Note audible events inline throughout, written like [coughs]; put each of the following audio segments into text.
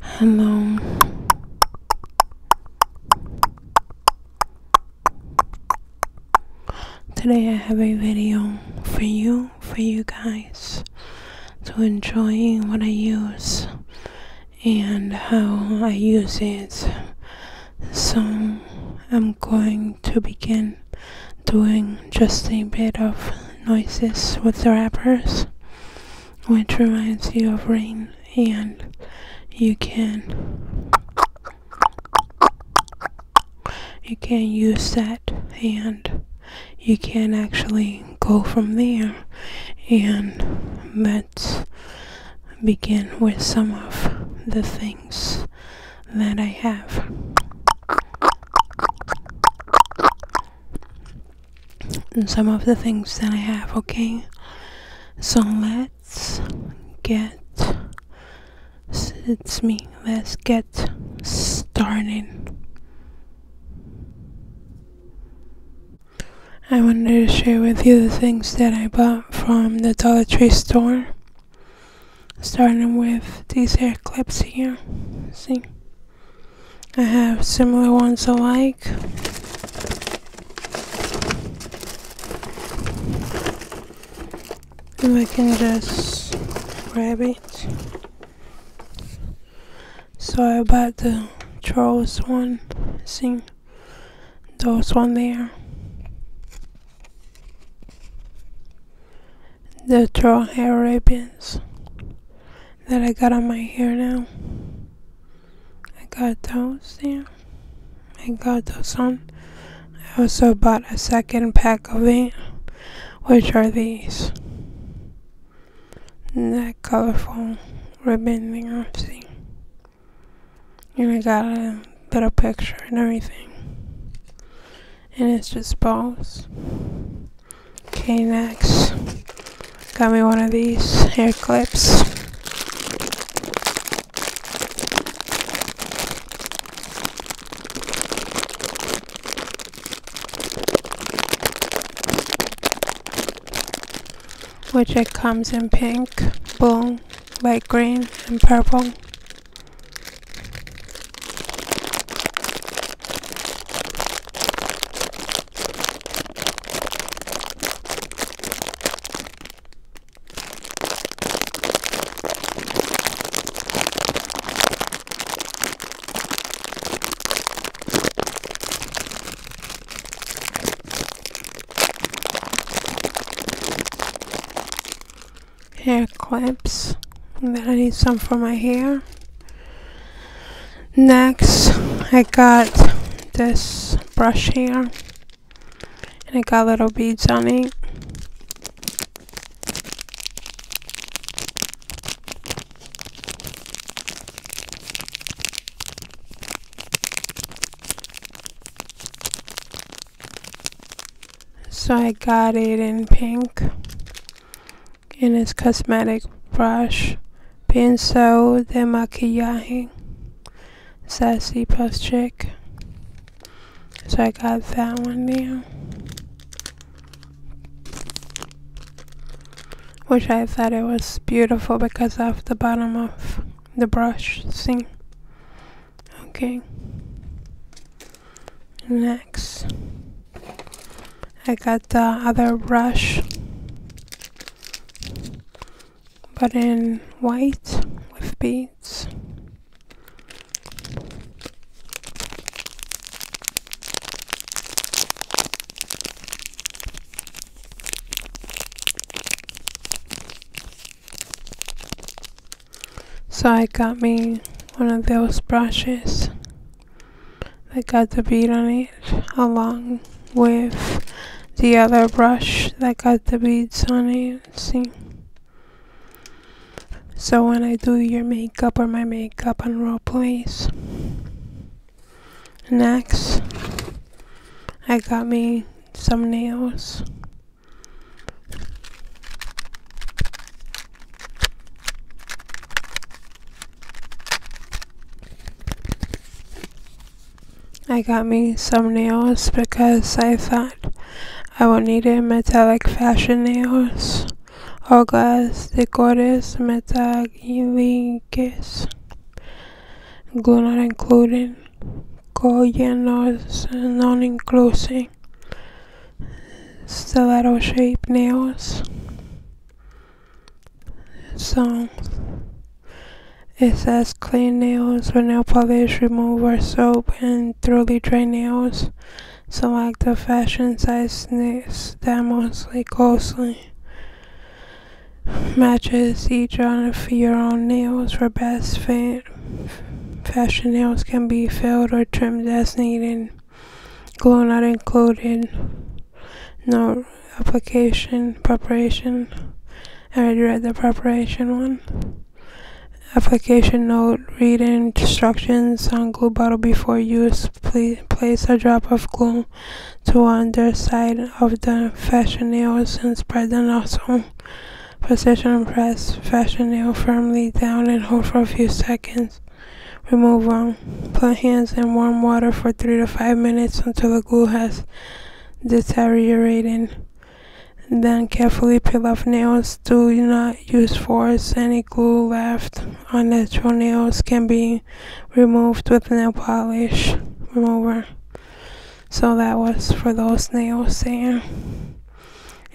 Hello. Today I have a video for you, for you guys, to enjoy what I use and how I use it. So I'm going to begin doing just a bit of noises with the rappers which reminds you of rain and you can you can use that and you can actually go from there and let's begin with some of the things that I have some of the things that I have, okay? So let's get it's me. Let's get started. I wanted to share with you the things that I bought from the Dollar Tree store. Starting with these hair clips here. See? I have similar ones alike. If I can just grab it. Sorry about the trolls one. Seeing those one there. The troll hair ribbons that I got on my hair now. I got those Yeah, I got those on. I also bought a second pack of it, which are these. And that colorful ribbon thing I see. And I got a little picture and everything. And it's just balls. Okay, next. Got me one of these hair clips. Which it comes in pink, blue, light green, and purple hair clips that I need some for my hair Next, I got this brush here, and it got little beads on it. So I got it in pink in its cosmetic brush, pienso de maquillaje, sassy plus chick. So I got that one there. Which I thought it was beautiful because of the bottom of the brush See, Okay. Next. I got the other brush but in white with beads so I got me one of those brushes I got the bead on it, along with the other brush that got the beads on it. See? So when I do your makeup or my makeup on role plays. Next, I got me some nails. I got me some nails because I thought I would need a metallic fashion nails glass las decores rings, glue not included, collanos non inclusive, stiletto shape nails. So it says clean nails with nail polish remover soap and thoroughly dry nails. Select the fashion size that mostly closely matches each of your own nails for best fit. Fashion nails can be filled or trimmed as needed. Glue not included. Note application preparation. I already read the preparation one. Application note, read instructions on glue bottle before use. Please place a drop of glue to underside of the fashion nail and spread the nozzle. Position press fashion nail firmly down and hold for a few seconds. Remove one Put hands in warm water for 3 to 5 minutes until the glue has deteriorated. then carefully peel off nails. Do not use force. Any glue left on natural nails can be removed with nail polish remover. So that was for those nails there.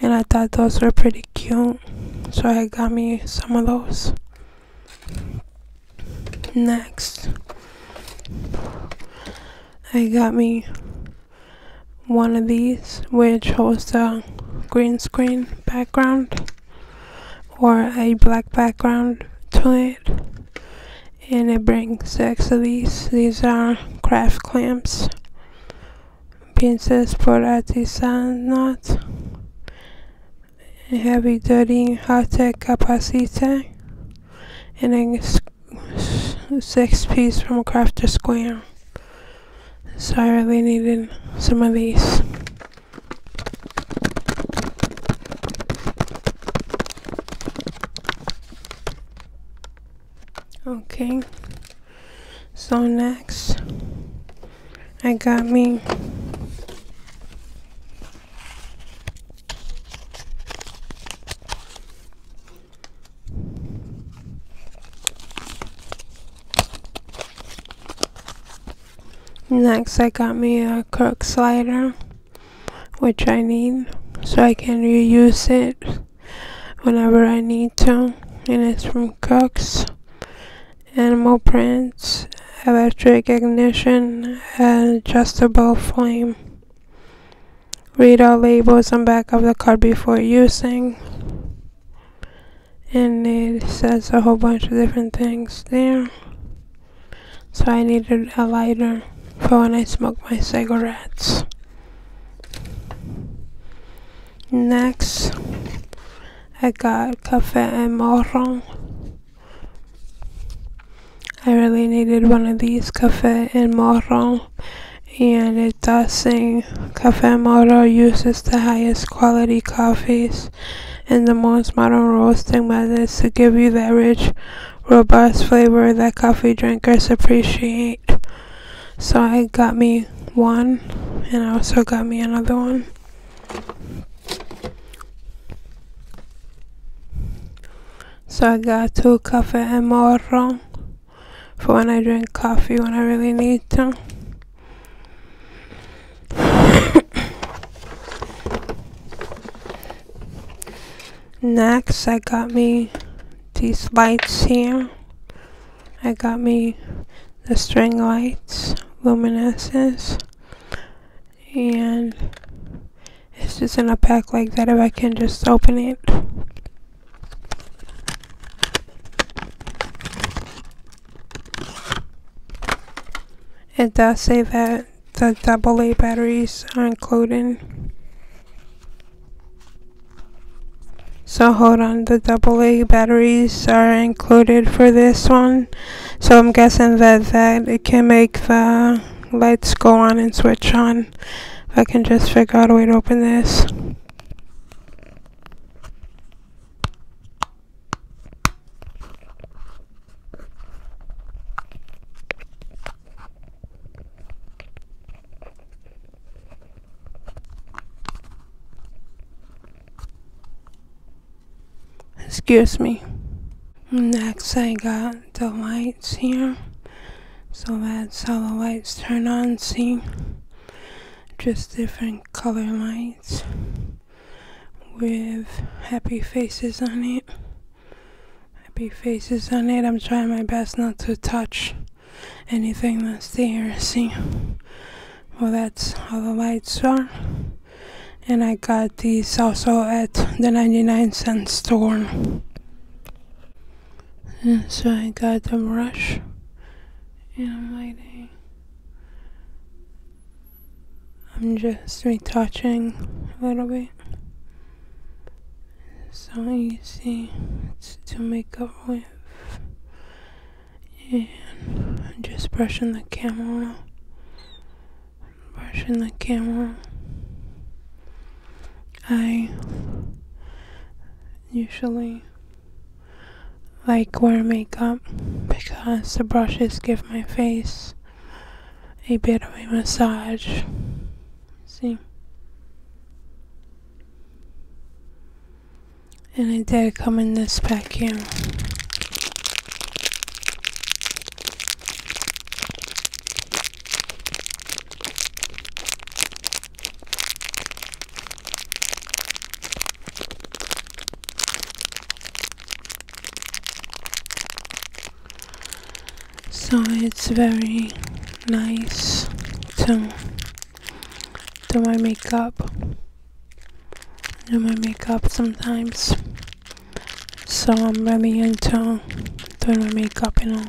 And I thought those were pretty cute. So I got me some of those. Next, I got me one of these, which holds a green screen background or a black background to it. And it brings six of these. These are craft clamps, pinzas for artisan knots, heavy duty high tech capacitor and a six piece from crafters Square. So I really needed some of these. Okay, so next I got me Next, I got me a cork slider, which I need, so I can reuse it whenever I need to, and it's from Cooks. Animal prints, electric ignition, adjustable flame. Read all labels on back of the card before using. And it says a whole bunch of different things there. So I needed a lighter for when I smoke my cigarettes. Next, I got Café and Morron I really needed one of these cafés in Moro and it does say Cafe Moro uses the highest quality coffees and the most modern roasting methods to give you that rich, robust flavor that coffee drinkers appreciate. So I got me one and I also got me another one. So I got two coffee and morro for when I drink coffee when I really need to. [coughs] Next, I got me these lights here. I got me the string lights, luminescence, and it's just in a pack like that if I can just open it it does say that the AA batteries are included so hold on the AA batteries are included for this one so I'm guessing that, that it can make the lights go on and switch on. If I can just figure out a way to open this. Excuse me. Next I got the lights here. So that's how the lights turn on, see? Just different color lights with happy faces on it. Happy faces on it. I'm trying my best not to touch anything that's there, see? Well, that's how the lights are and I got these also at the 99 cent store. so I got the brush and I'm waiting. I'm just retouching a little bit. So easy to make up with. And I'm just brushing the camera brushing the camera. I usually like wear makeup because the brushes give my face a bit of a massage. See? And it did come in this pack here. So it's very nice to do my makeup. Do my makeup sometimes. So I'm very into doing makeup, you know.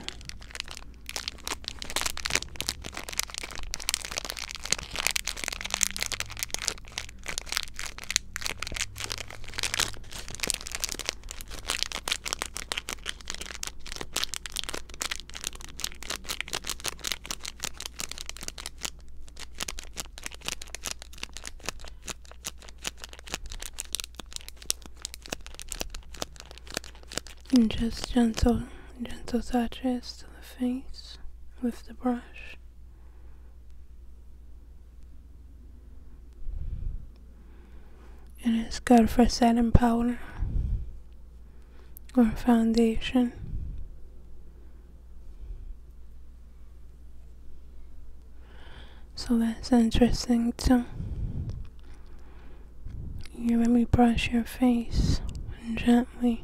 And just gentle, gentle touches to the face with the brush. And it's good for setting powder or foundation. So that's interesting too. You let me brush your face gently.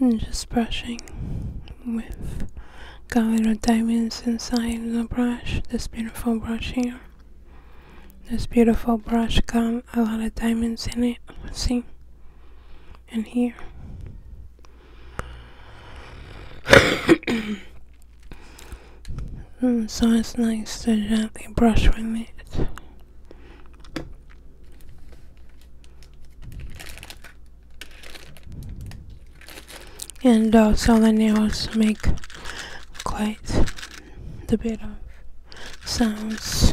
Mm, just brushing with color diamonds inside the brush, this beautiful brush here. This beautiful brush got a lot of diamonds in it, see? And here. [coughs] Mm, so it's nice to gently brush with it and also the nails make quite the bit of sounds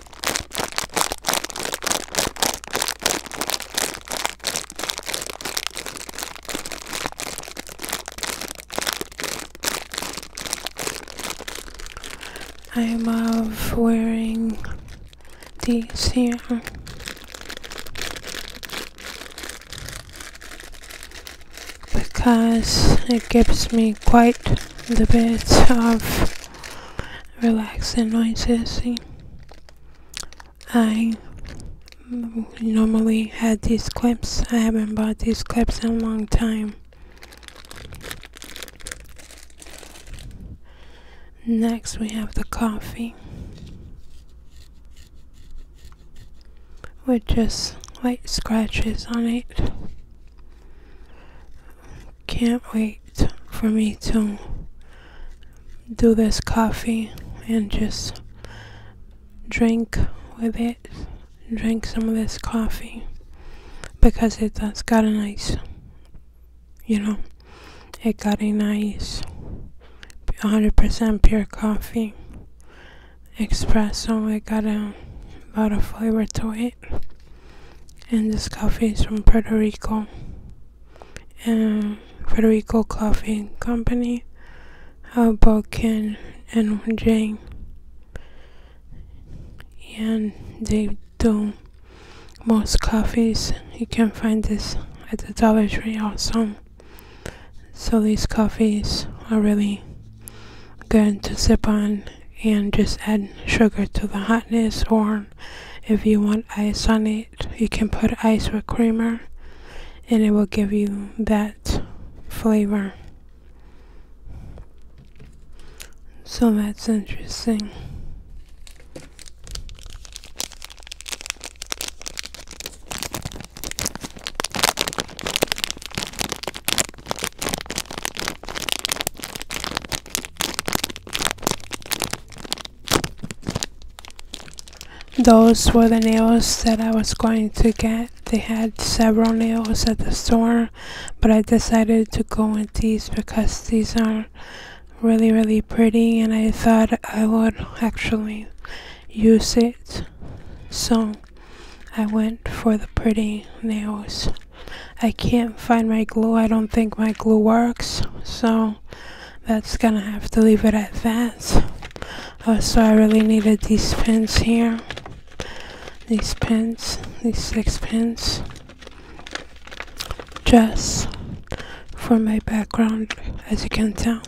I love wearing these here. Because it gives me quite the bit of relax the noises. I normally had these clips. I haven't bought these clips in a long time. Next we have the coffee. With just light scratches on it. Can't wait for me to do this coffee and just drink with it. Drink some of this coffee because it, has got a nice, you know, it got a nice 100% pure coffee espresso. It got a lot of flavor to it. And this coffee is from Puerto Rico and Federico Coffee Company of both Ken and Jane. And they do most coffees. You can find this at the Dollar Tree some. So these coffees are really good to sip on and just add sugar to the hotness or if you want ice on it, you can put ice with creamer and it will give you that flavor. So that's interesting. Those were the nails that I was going to get. They had several nails at the store, but I decided to go with these because these are really, really pretty and I thought I would actually use it. So I went for the pretty nails. I can't find my glue. I don't think my glue works. So that's going to have to leave it at that. Uh, so I really needed these pins here. These pins, these six pins. Just for my background, as you can tell.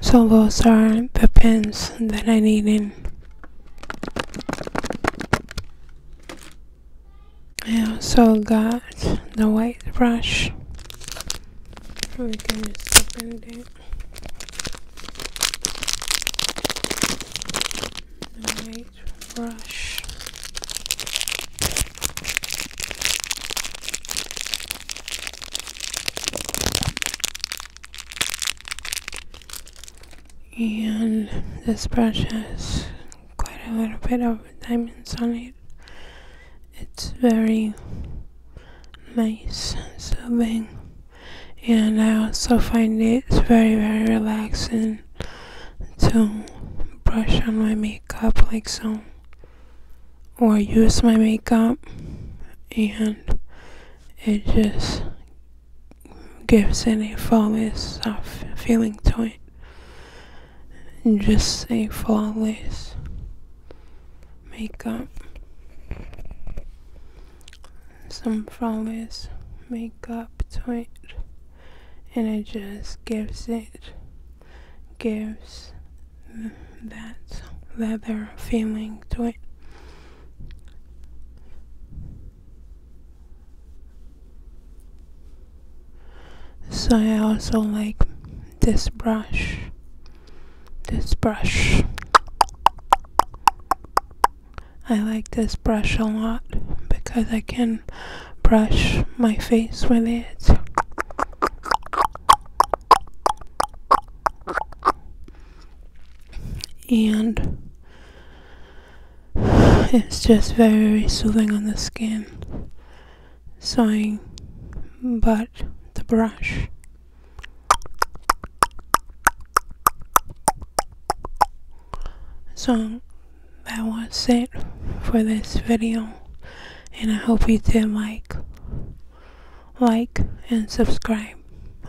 So those are the pens that I needed. I also got the white brush. We can just open it. The white brush. And this brush has quite a little bit of diamonds on it. It's very nice and soothing, and I also find it's very, very relaxing to brush on my makeup like so, or use my makeup, and it just gives any a flawless soft uh, feeling to it and just say flawless makeup. Some flawless makeup to it, and it just gives it, gives that leather feeling to it so I also like this brush this brush I like this brush a lot because I can brush my face with it and it's just very, soothing on the skin sewing but the brush so that was it for this video and I hope you did like like and subscribe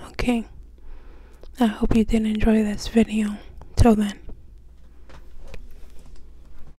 okay I hope you did enjoy this video till then